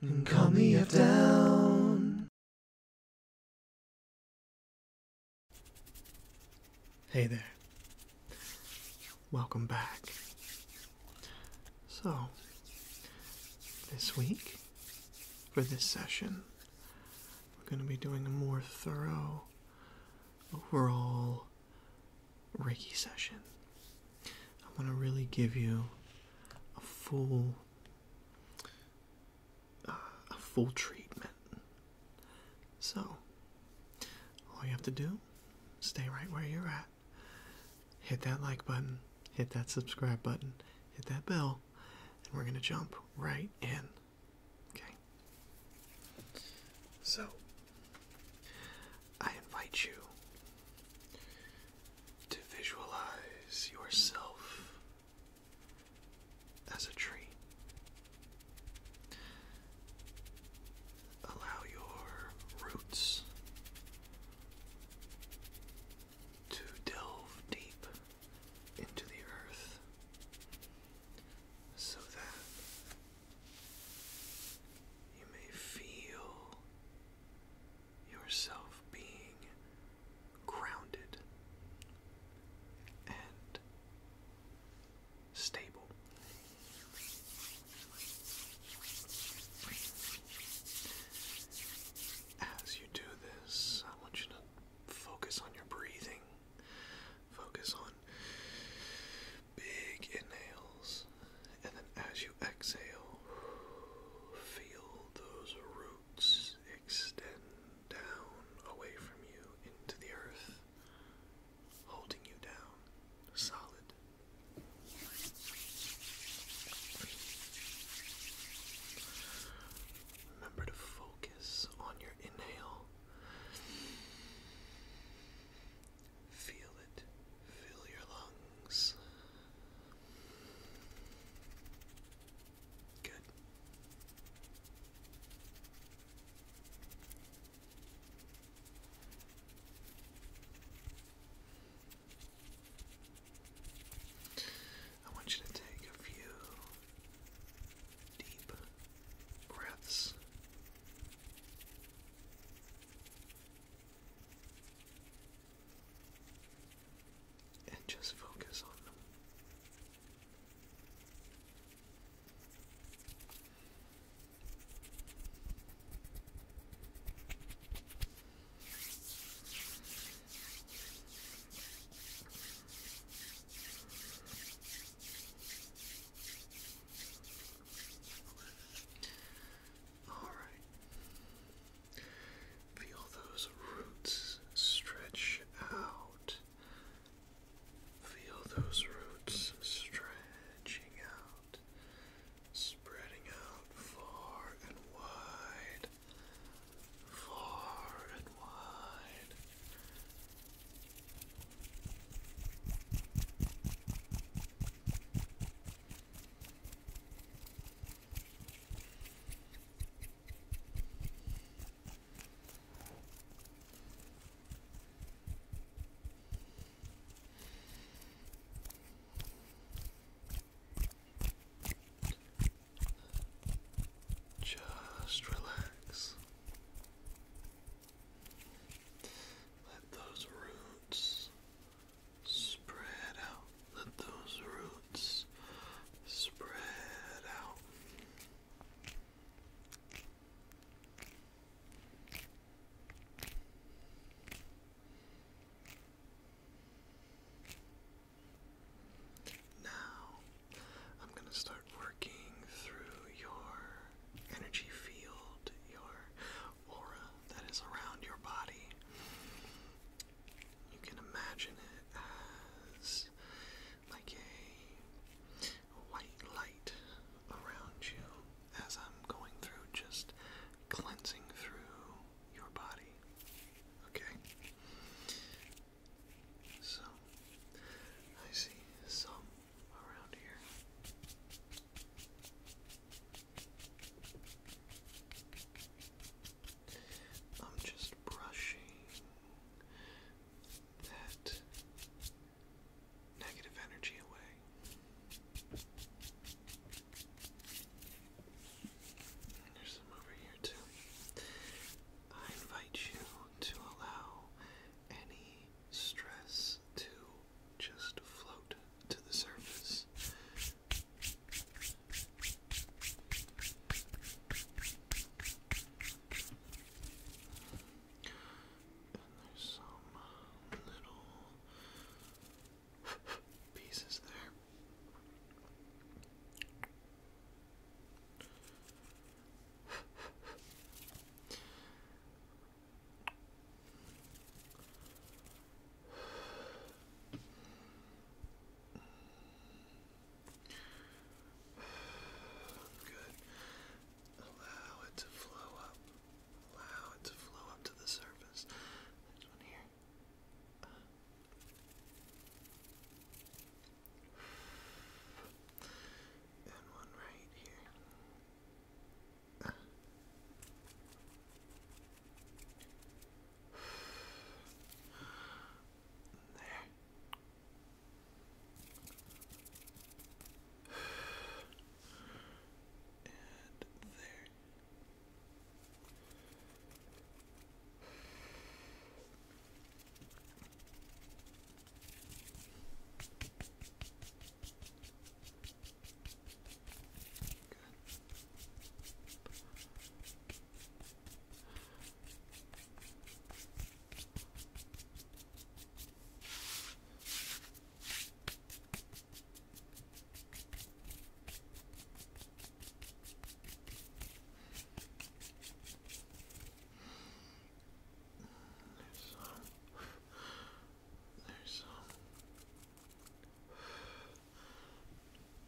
and calm the F down. Hey there. Welcome back. So, this week, for this session, we're going to be doing a more thorough overall Reiki session. I want to really give you a full uh, a full treatment. So, all you have to do, stay right where you're at. Hit that like button, hit that subscribe button, hit that bell, and we're going to jump right in. Okay? So, I invite you to visualize yourself as a tree. Allow your roots to delve deep into the earth so that you may feel yourself being grounded and stable. As you do this, I want you to focus on your breathing. Focus on big inhales, and then as you exhale, Feel those roots extend down away from you into the earth, holding you down solid. Remember to focus on your inhale. Feel it fill your lungs Good. I want you to take a few deep breaths and just focus on them. Alright. Feel those roots stretch out. Feel those roots stretching out, spreading out far and wide, far and wide. Just relax. Let those roots Spread out. Let those roots spread out. Now, I'm going to start working through your energy field, your aura that is around your body. You can imagine it as like a white light around you as I'm going through, just cleansing through your body. Okay? So, I see some around here. I'm just brushing that negative energy away. there's some over here too. I invite you to allow any stress to just float to the surface. And there's some little pieces there. Good. Allow it to flow up. Allow it to flow up to the surface. There's one here. Uh. And one right here. Uh. There. And there. There's some. There's some.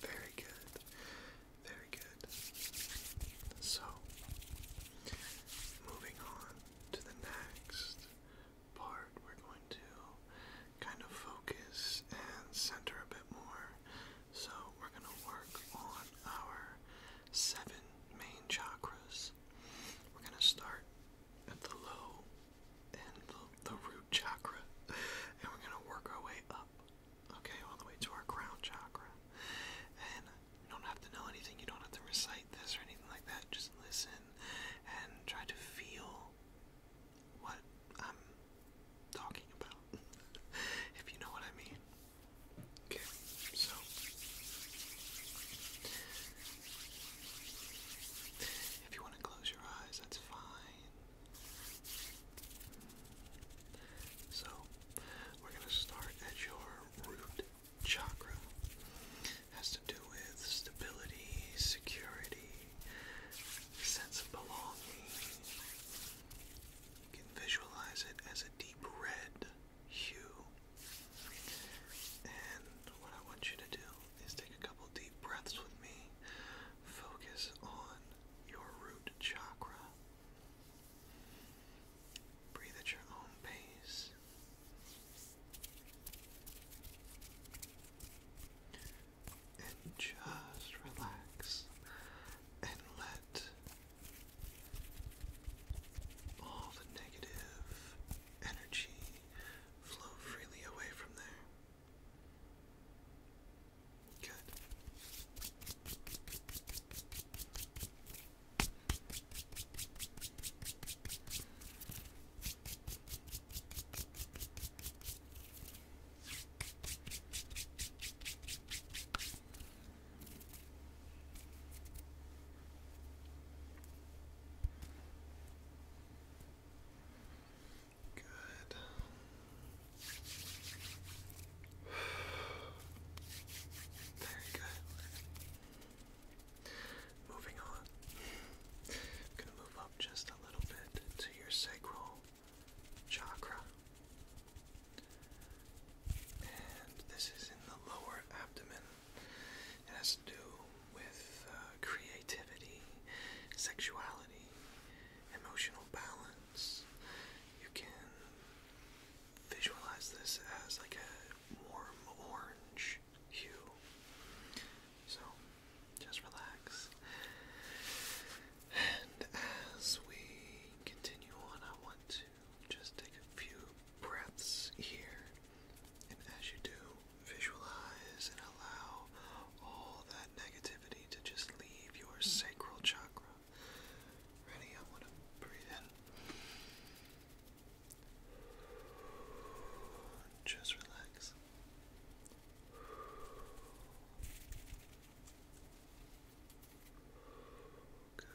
Very good. Very good. So, moving on to the next part, we're going to kind of focus and center a bit more. So, we're going to work on our seven main chakras we're going to start at the low and the, root chakra, and we're going to work our way up, okay, all the way to our crown chakra. And you don't have to know anything, you don't have to recite this or anything like that. Just listen and try to feel what I'm talking about, if you know what I mean. Okay, so if you want to close your eyes, that's fine. So, we're going to start at your root chakra. Has to do with stability, security, sense of belonging. You can visualize it as a deep red hue. And what I want you to do is take a couple deep breaths with me. Focus on your root chakra. Breathe at your own pace. And just relax and let all the negative energy flow freely away from there. Good. Good. Very good. Moving on. going to move up just a little bit to your sacral chakra. And this is in the lower abdomen. It has to do with uh, creativity, sexuality, emotional balance. You can visualize this as like a warm orange hue. So just relax. And as we continue on, I want to just take a few breaths here. And as you do, visualize and allow all that negativity to just leave your sacral chakra. Ready? I want to breathe in. Just relax. Good.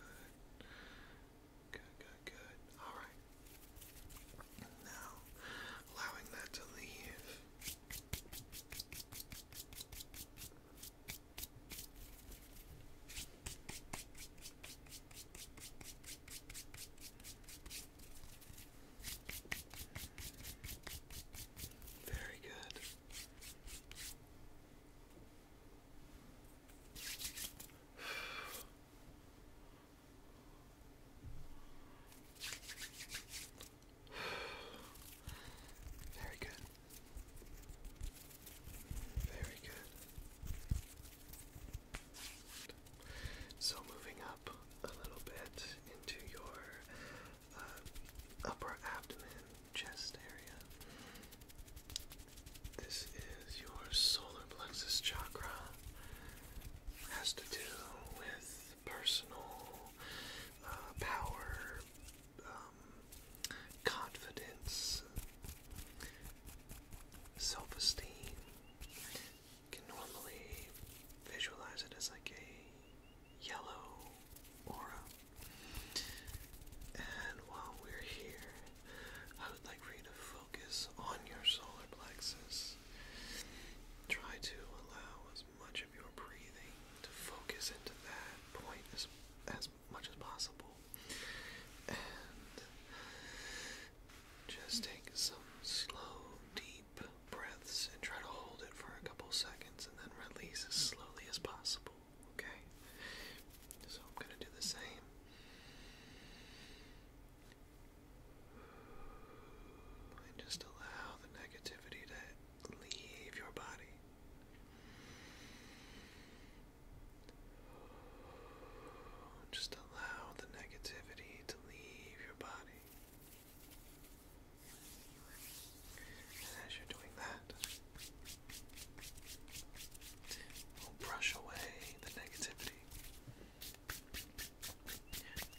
Good, good, good. Alright. Now, allowing that to leave. Very good. Very good. Very good. So moving up a little bit into your uh, upper abdomen, chest area. This is your solar plexus chakra. Has to do with personal uh, power, um, confidence, self esteem. Can normally visualize it as like a yellow aura. And while we're here, I would like for you to focus on your solar plexus. Try to allow as much of your breathing to focus into that point as, as much as possible. And just take some slow, deep breaths and try to hold it for a couple seconds and then release as slowly as possible, okay? So I'm going to do the same just allow the negativity to leave your body. Just allow the negativity to leave your body. And as you're doing that, we'll brush away the negativity.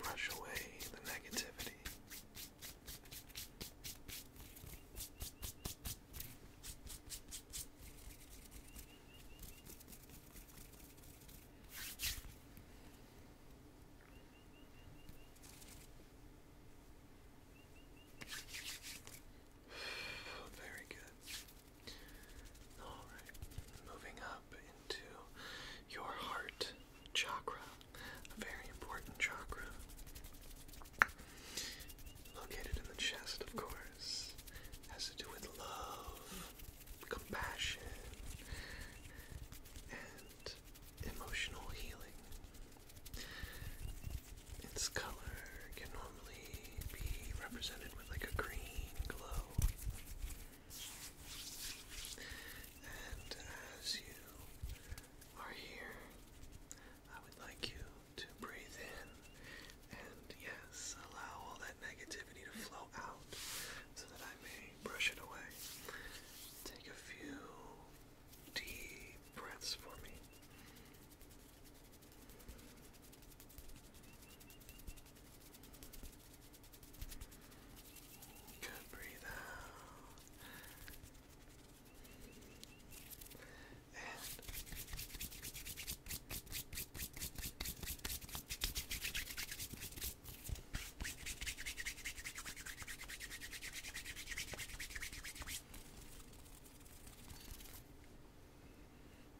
Brush away the negativity. Very good. Alright, moving up into your heart chakra, a very important chakra. Located in the chest, of course. Has to do with love, compassion, and emotional healing. Its color normally be represented with like a green glow. And as you are here, I would like you to breathe in and yes, allow all that negativity to flow out so that I may brush it away. Take a few deep breaths for me. Good, breathe out. And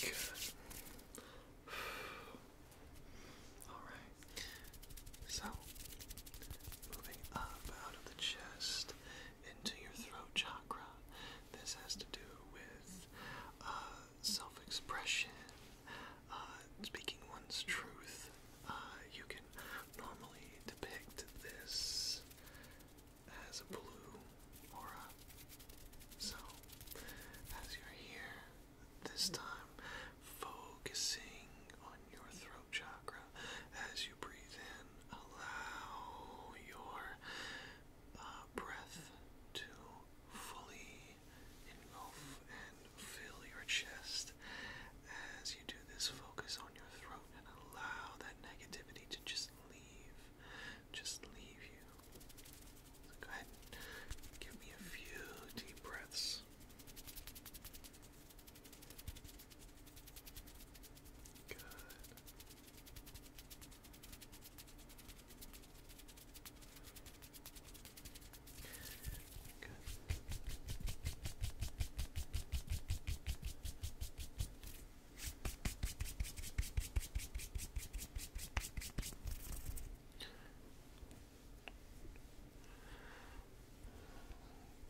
Good. Alright. So, moving up out of the chest into your throat chakra. This has to do with uh, self expression, uh, speaking one's truth. Uh, you can normally depict this has a blue aura. So, as you're here, this time focusing on your throat chakra as you breathe in, allow your uh, breath to fully engulf and fill your chest. As you do this, focus on your throat and allow that negativity to just leave. Just leave you. go ahead give me a few deep breaths. Good. Good.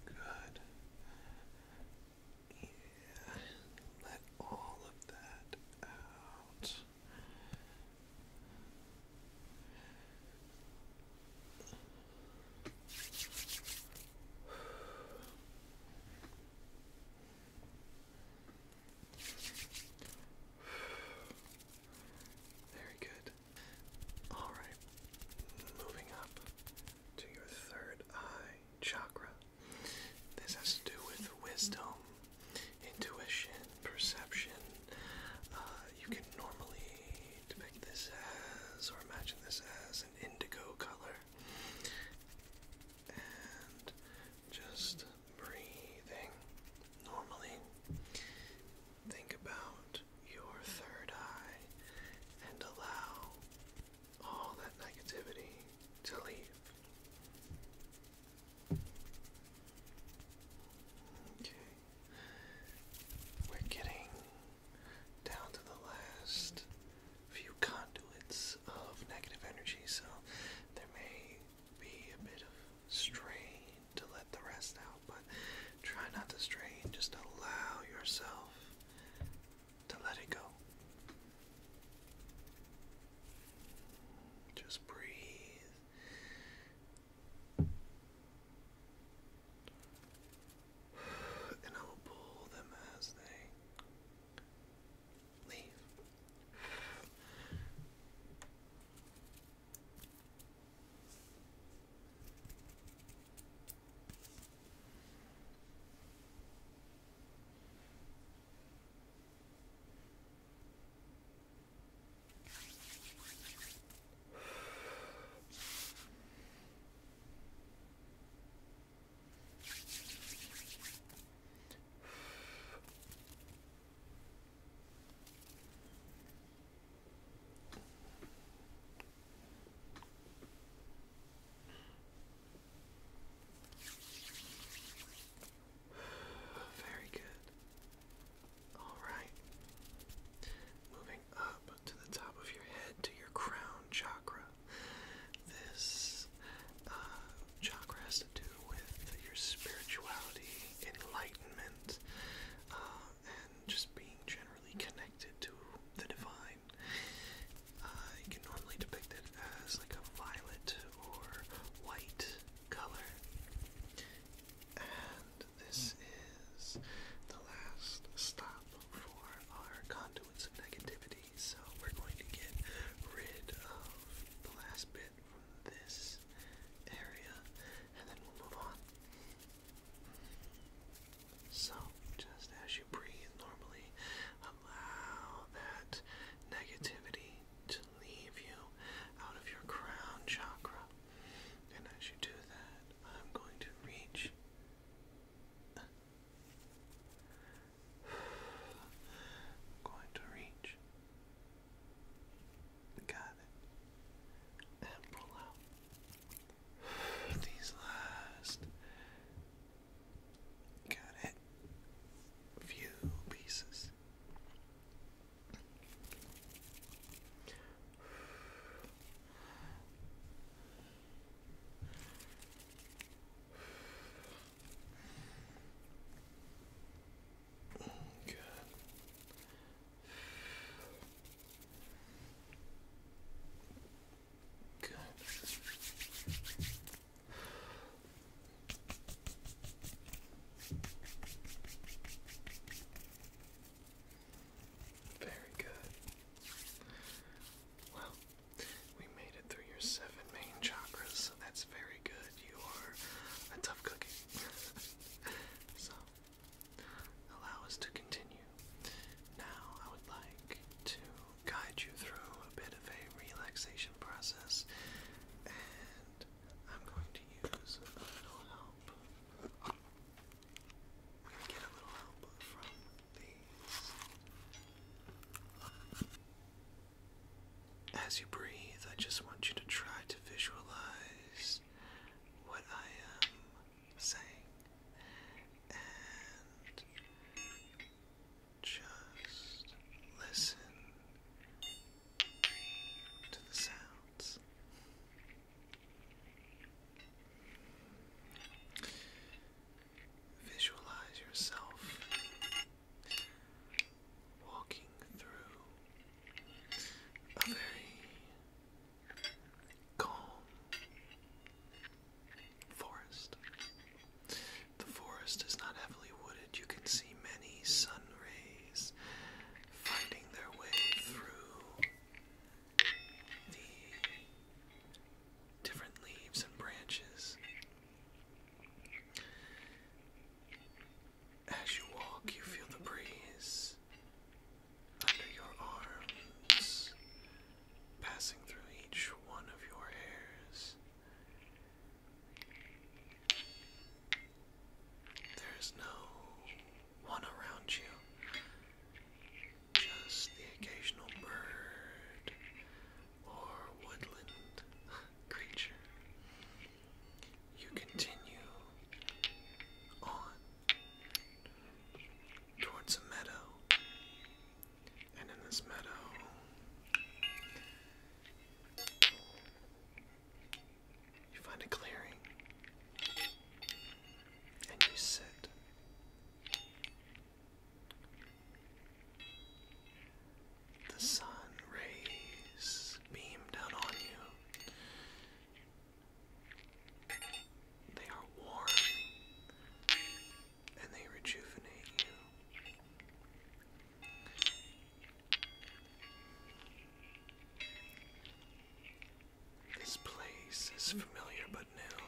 Good. Yeah. Let all of that out. Very good. Alright, moving up to your third eye chakra. This has to do with wisdom, intuition, perception. Uh, you can normally depict this as, or imagine this as, an indigo color and just breathing normally. Think about your third eye and allow all that negativity to leave. Okay. We're getting down to the last few conduits of negative energy, so there may be a bit of strain to let the rest out, but try not to strain, just allow yourself to let it go. Just breathe and I will pull them as they leave. Very good. All right. Moving up to the top of your head to your crown chakra this uh, chakra has to do with your spirituality, enlightenment, uh, and just being generally connected to the divine. Uh, can normally depict as like a violet or white color. And this hmm. is the last stop for our conduits of negativity so we're going to get rid of the last bit from this area and then we'll move on. So, just as you breathe normally, allow that negativity to leave you out of your crown chakra. And as you do that, I'm going to reach I'm going to reach. Got it. And pull out these last. Got it. Few pieces. Good. Good. Very good. Well, we made it through your seven main chakras, so that's very good. You are a tough cookie. so, allow us to continue. Now, I would like to guide you through a bit of a relaxation process, and I'm going to use a little help. i get a little help from the as you breathe, I just want you to try to visualize what I am saying and just listen to the sounds. Visualize yourself walking through a very calm forest. The forest is not heavily wooded. You can see many sun rays finding their way through the different leaves and branches. As you walk, you feel the breeze under your arms, passing through each one of your hairs. There is no one around you, just the occasional bird or woodland creature. You continue on towards a meadow, and in this meadow, you find a clearing and you sit. The sun rays beam down on you. They are warm and they rejuvenate you. This place is familiar but new.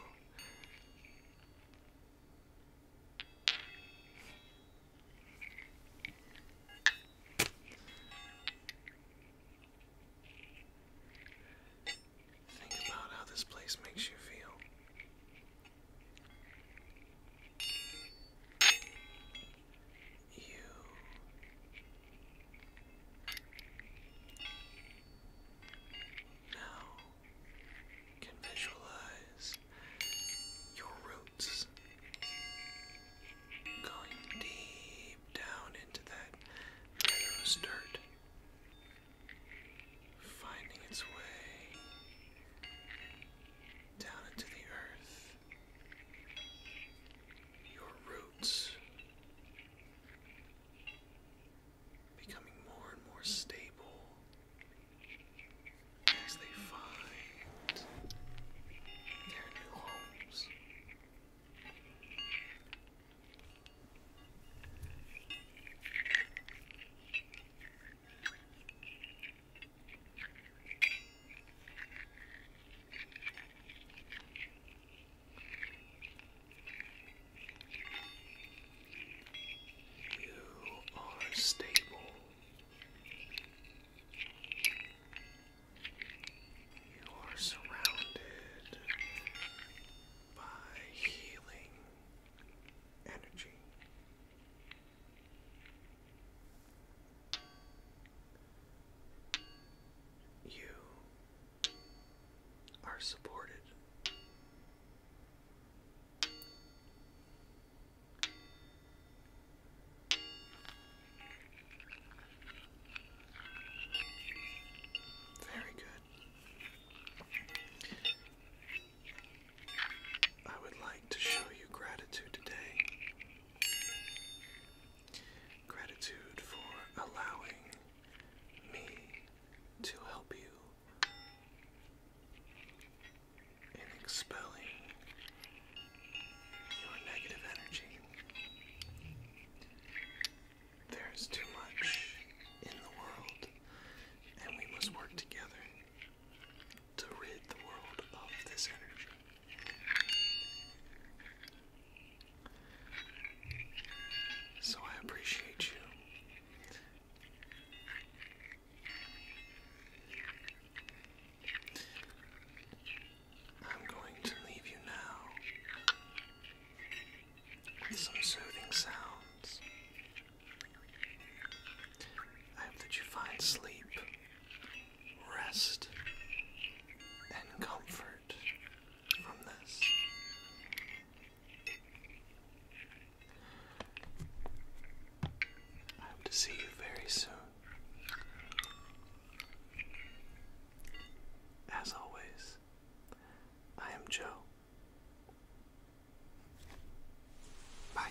Think about how this place makes you feel. You know can visualize your roots going deep down into that meadow's dirt, finding its way down into the earth. Your roots becoming more and more stable as they find their new homes. You are stable. You are surrounded by healing energy. You are supported. Very good. I would like to show you gratitude today. Gratitude for allowing me to help you and expelling your negative energy. There is too much in the world, and we must work together to rid the world of this energy. So I appreciate you I'm going to leave you now with some soothing sounds. I hope that you find sleep, rest, and comfort from this. I hope to see you very soon. As always, I am Joe. Bye.